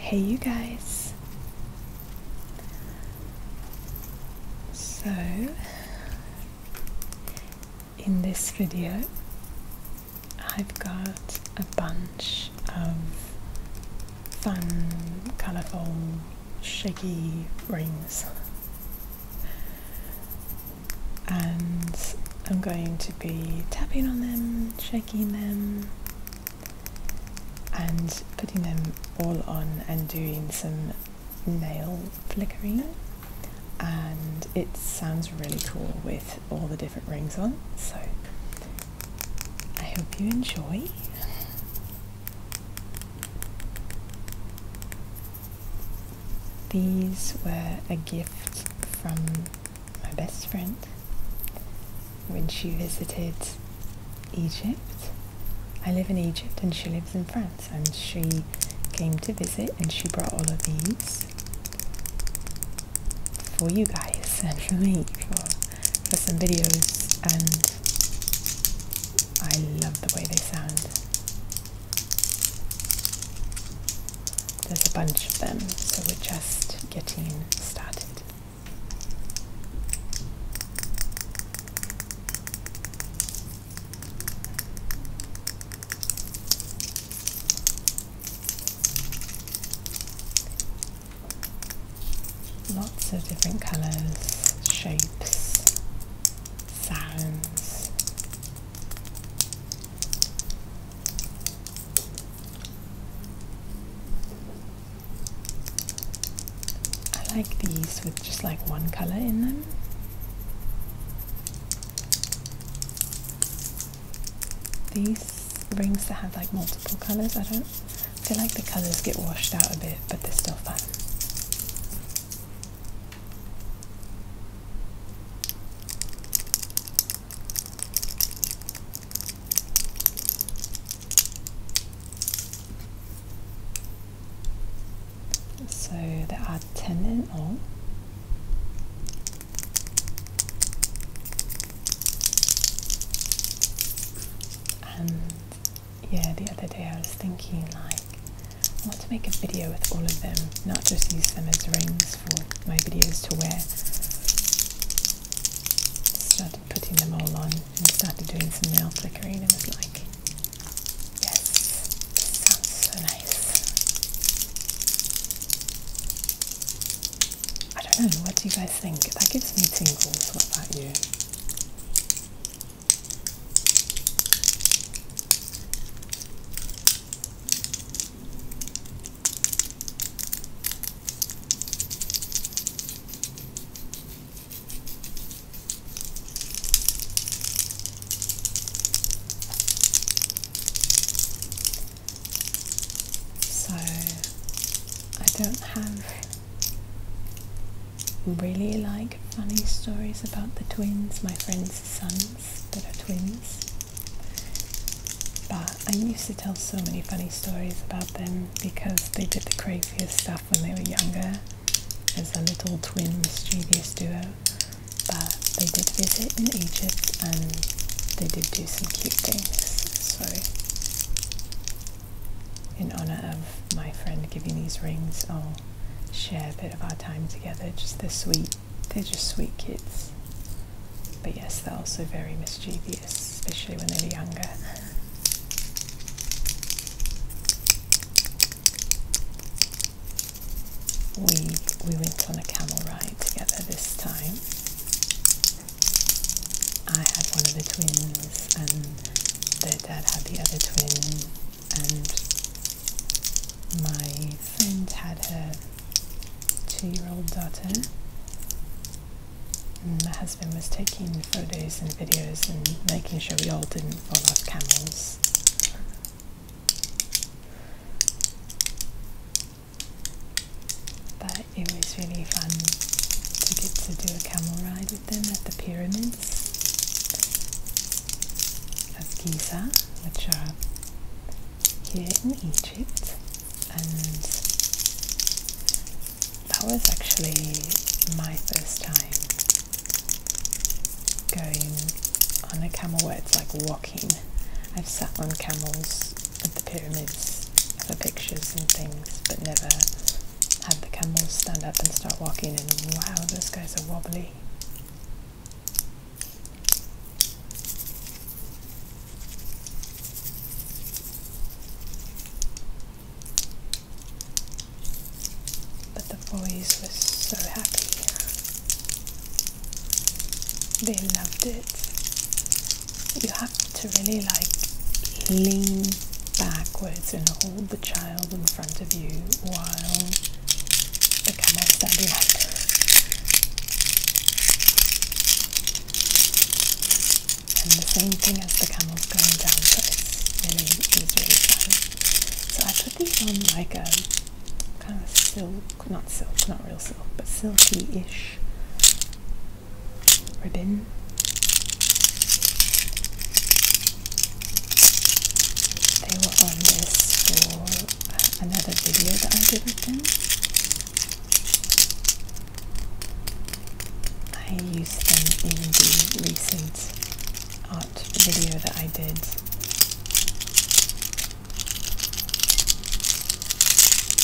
Hey, you guys. So, in this video, I've got a bunch of fun, colourful, shaky rings and I'm going to be tapping on them, shaking them and putting them all on and doing some nail flickering and it sounds really cool with all the different rings on so I hope you enjoy these were a gift from my best friend, when she visited Egypt. I live in Egypt and she lives in France, and she came to visit and she brought all of these for you guys and for me for, for some videos and I love the way they sound. There's a bunch of them, so we're just getting started. Lots of different colours, shapes, sounds, I like these with just like one color in them. These rings that have like multiple colors, I don't feel like the colors get washed out a bit, but they're still fun. So there are 10 in all. Oh. And yeah, the other day I was thinking like I want to make a video with all of them, not just use them as rings for my videos to wear. Just started putting them all on and started doing some nail flickering and was like, yes, sounds so nice. I don't know, what do you guys think? That gives me tingles, what about you? So I don't have really like funny stories about the twins, my friends' sons that are twins. But I used to tell so many funny stories about them because they did the craziest stuff when they were younger as a little twin mischievous duo. But they did visit in Egypt and they did do some cute things. So in honor of my friend giving these rings, I'll share a bit of our time together, just the sweet they're just sweet kids. But yes, they're also very mischievous, especially when they're younger. We we went on a camel ride together this time. I had one of the twins and their dad had the other twin and my friend had her two-year-old daughter and my husband was taking photos and videos and making sure we all didn't fall off camels but it was really fun to get to do a camel ride with them at the pyramids as Giza, which are here in Egypt, and that was actually my first time going on a camel where it's like walking. I've sat on camels at the pyramids for pictures and things, but never had the camels stand up and start walking and wow, those guys are wobbly. But the boys were so happy. They loved it. You have to really like lean backwards and hold child in front of you while the camel standing up. And the same thing as the camel's going down, so it's really, it's really fun. So I put these on like a kind of silk, not silk, not real silk, but silky-ish ribbon. They were on this for another video that I did with them. I used them in the recent art video that I did.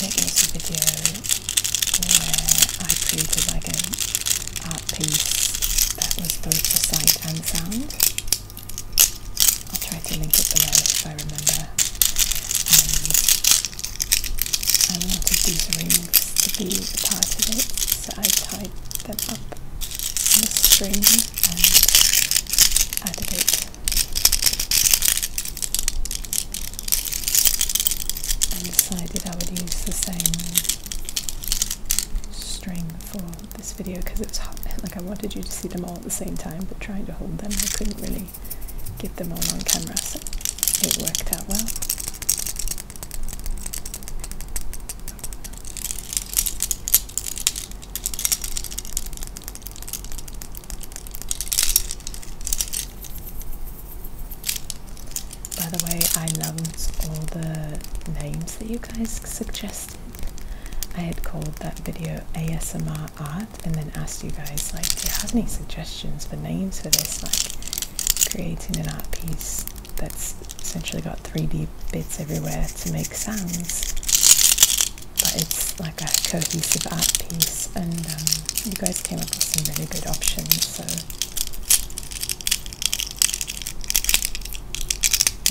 It was a video where I created like an art piece that was both for sight and sound. I'll try to link it below if I remember. I um, wanted these rings to be a part of it, so I tied them up on a string and added it. And decided I would use the same string for this video because it's hot. Like I wanted you to see them all at the same time, but trying to hold them, I couldn't really get them all on camera, so it worked out well. By the way, I loved all the names that you guys suggested. I had called that video ASMR art and then asked you guys like do you have any suggestions for names for this like creating an art piece that's essentially got 3D bits everywhere to make sounds but it's like a cohesive art piece and um, you guys came up with some really good options so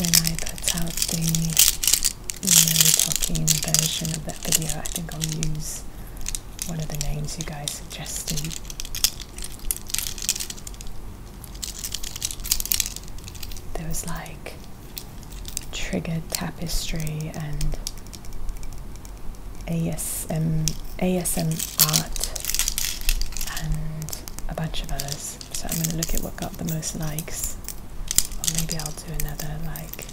when I put out the no talking version of that video, I think I'll use one of the names you guys suggested. There was like triggered tapestry and ASM, ASM art and a bunch of others. So I'm gonna look at what got the most likes. Or maybe I'll do another like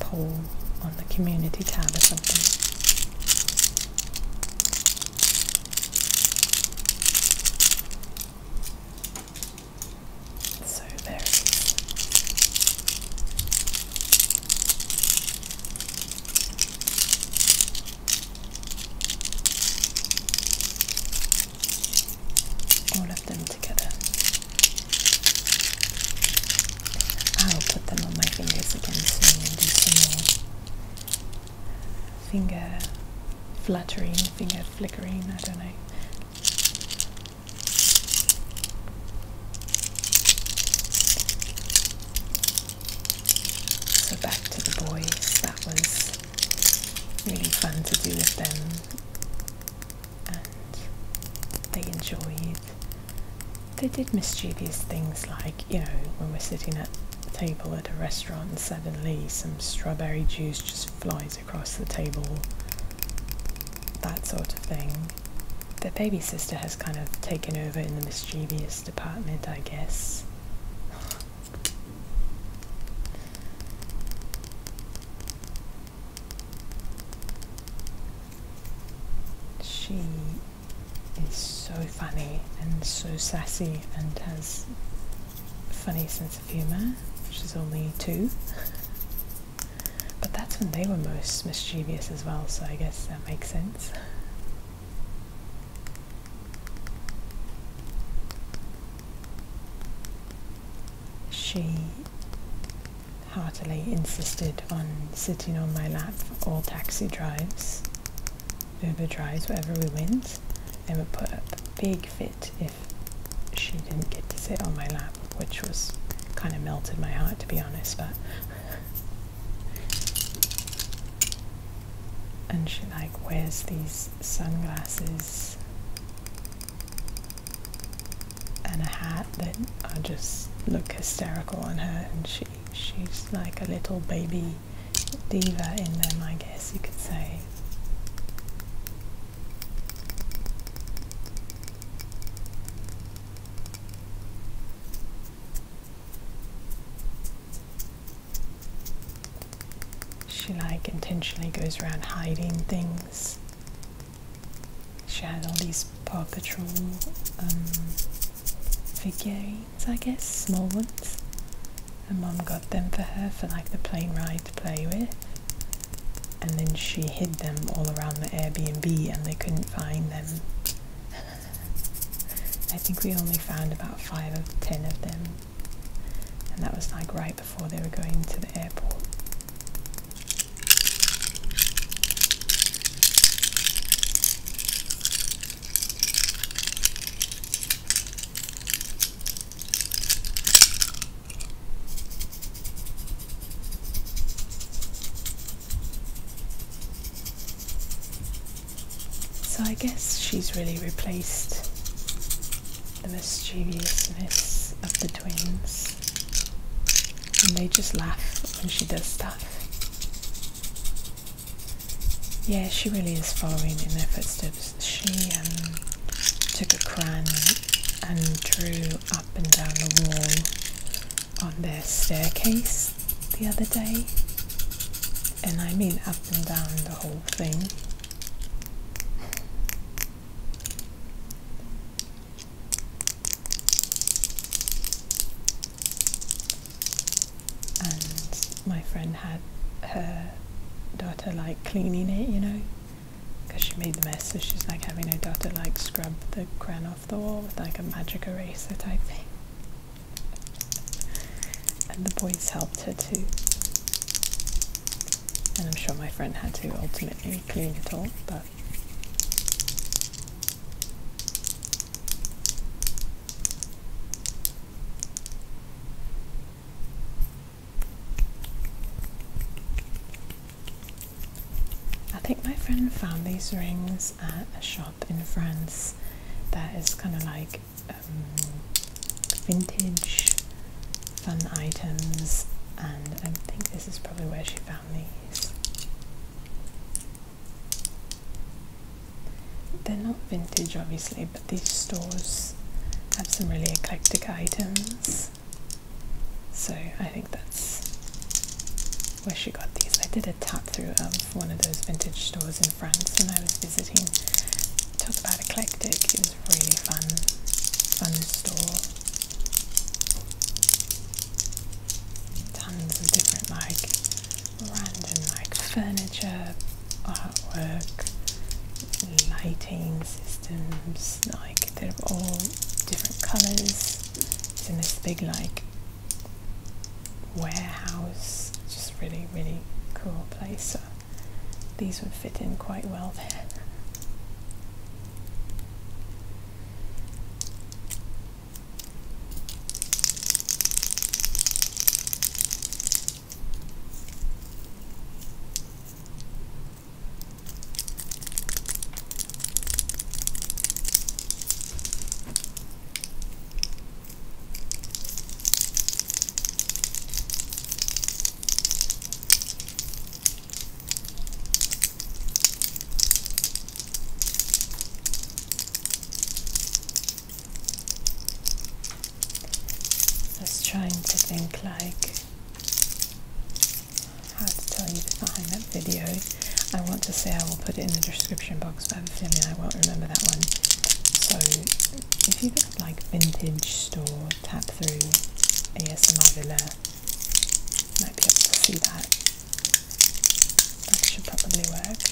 poll on the community tab or something. So there all of them together. I'll put them on my fingers again soon and do some more finger fluttering, finger flickering, I don't know. So back to the boys, that was really fun to do with them and they enjoyed. They did mischievous things like, you know, when we're sitting at a table at a restaurant suddenly some strawberry juice just flies across the table, that sort of thing. Their baby sister has kind of taken over in the mischievous department, I guess. She is so funny and so sassy and has a funny sense of humour. She's only two. but that's when they were most mischievous as well, so I guess that makes sense. She heartily insisted on sitting on my lap all taxi drives, Uber drives, wherever we went, and would put up a big fit if she didn't get to sit on my lap, which was kind of melted my heart to be honest, but and she like wears these sunglasses and a hat that I just look hysterical on her and she she's like a little baby diva in them I guess you could say she like intentionally goes around hiding things. She had all these Paw Patrol um, figurines, I guess, small ones. Her mom got them for her for like the plane ride to play with. And then she hid them all around the Airbnb and they couldn't find them. I think we only found about five of ten of them, and that was like right before they were going to the airport. So I guess she's really replaced the mischievousness of the twins, and they just laugh when she does stuff. Yeah, she really is following in their footsteps. She um, took a crayon and drew up and down the wall on their staircase the other day, and I mean up and down the whole thing. And my friend had her daughter like cleaning it, you know, because she made the mess, so she's like having her daughter like scrub the crown the wall with like a magic eraser type thing. And the boys helped her too. And I'm sure my friend had to ultimately clean it all, but I think my friend found these rings at a shop in France that is kind of like um, vintage fun items, and I think this is probably where she found these. They're not vintage, obviously, but these stores have some really eclectic items. So I think that's where she got these. I did a tap through of one of those vintage stores in France when I was visiting. Talk about eclectic, it was really fun, fun store. Tons of different like random like furniture, artwork, lighting systems, like they're all different colours. It's in this big like warehouse, just really, really cool place. So these would fit in quite well there. I was trying to think like how to tell you to find that video. I want to say I will put it in the description box, but I won't remember that one. So if you look at like vintage store, tap through ASMR Villa, you might be able to see that. That should probably work.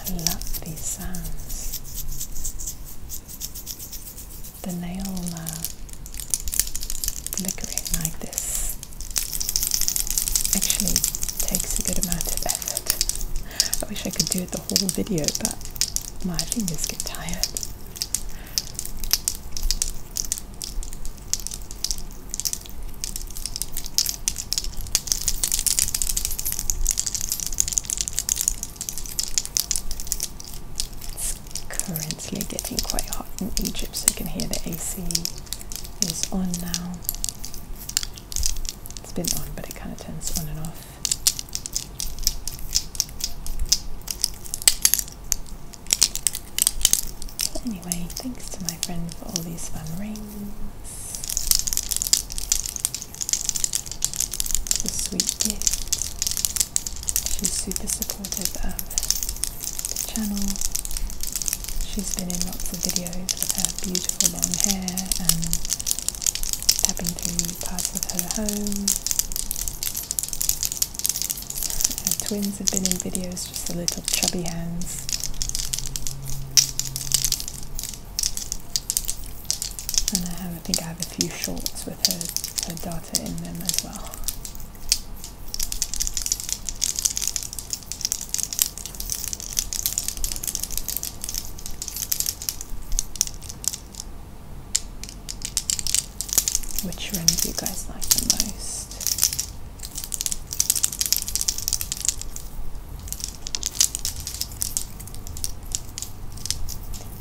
I love these sounds. The nail uh, like this actually takes a good amount of effort. I wish I could do it the whole video, but my fingers get tired. It's currently getting quite hot in Egypt, so you can hear the AC is on now. It's been on, but it kind of turns on and off anyway, thanks to my friend for all these fun rings. The sweet gift. She's super supportive of the channel. She's been in lots of videos with her beautiful long hair and tapping through different parts of her home. twins have been in videos, just the little chubby hands. And I, think I have a few shorts with her, her data in them as well. Which ring do you guys like the most?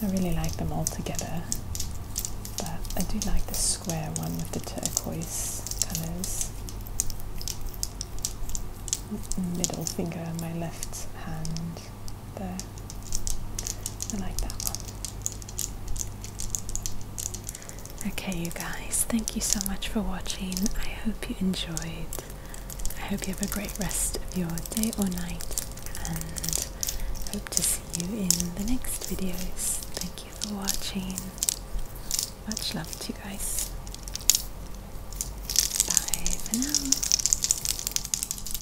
I really like them all together, but I do like the square one with the turquoise colours. Middle finger my left hand there. I like that one. Okay, you guys, thank you so much for watching. I hope you enjoyed. I hope you have a great rest of your day or night, and hope to see you in the next videos. Thank you for watching. Much love to you guys. Bye for now.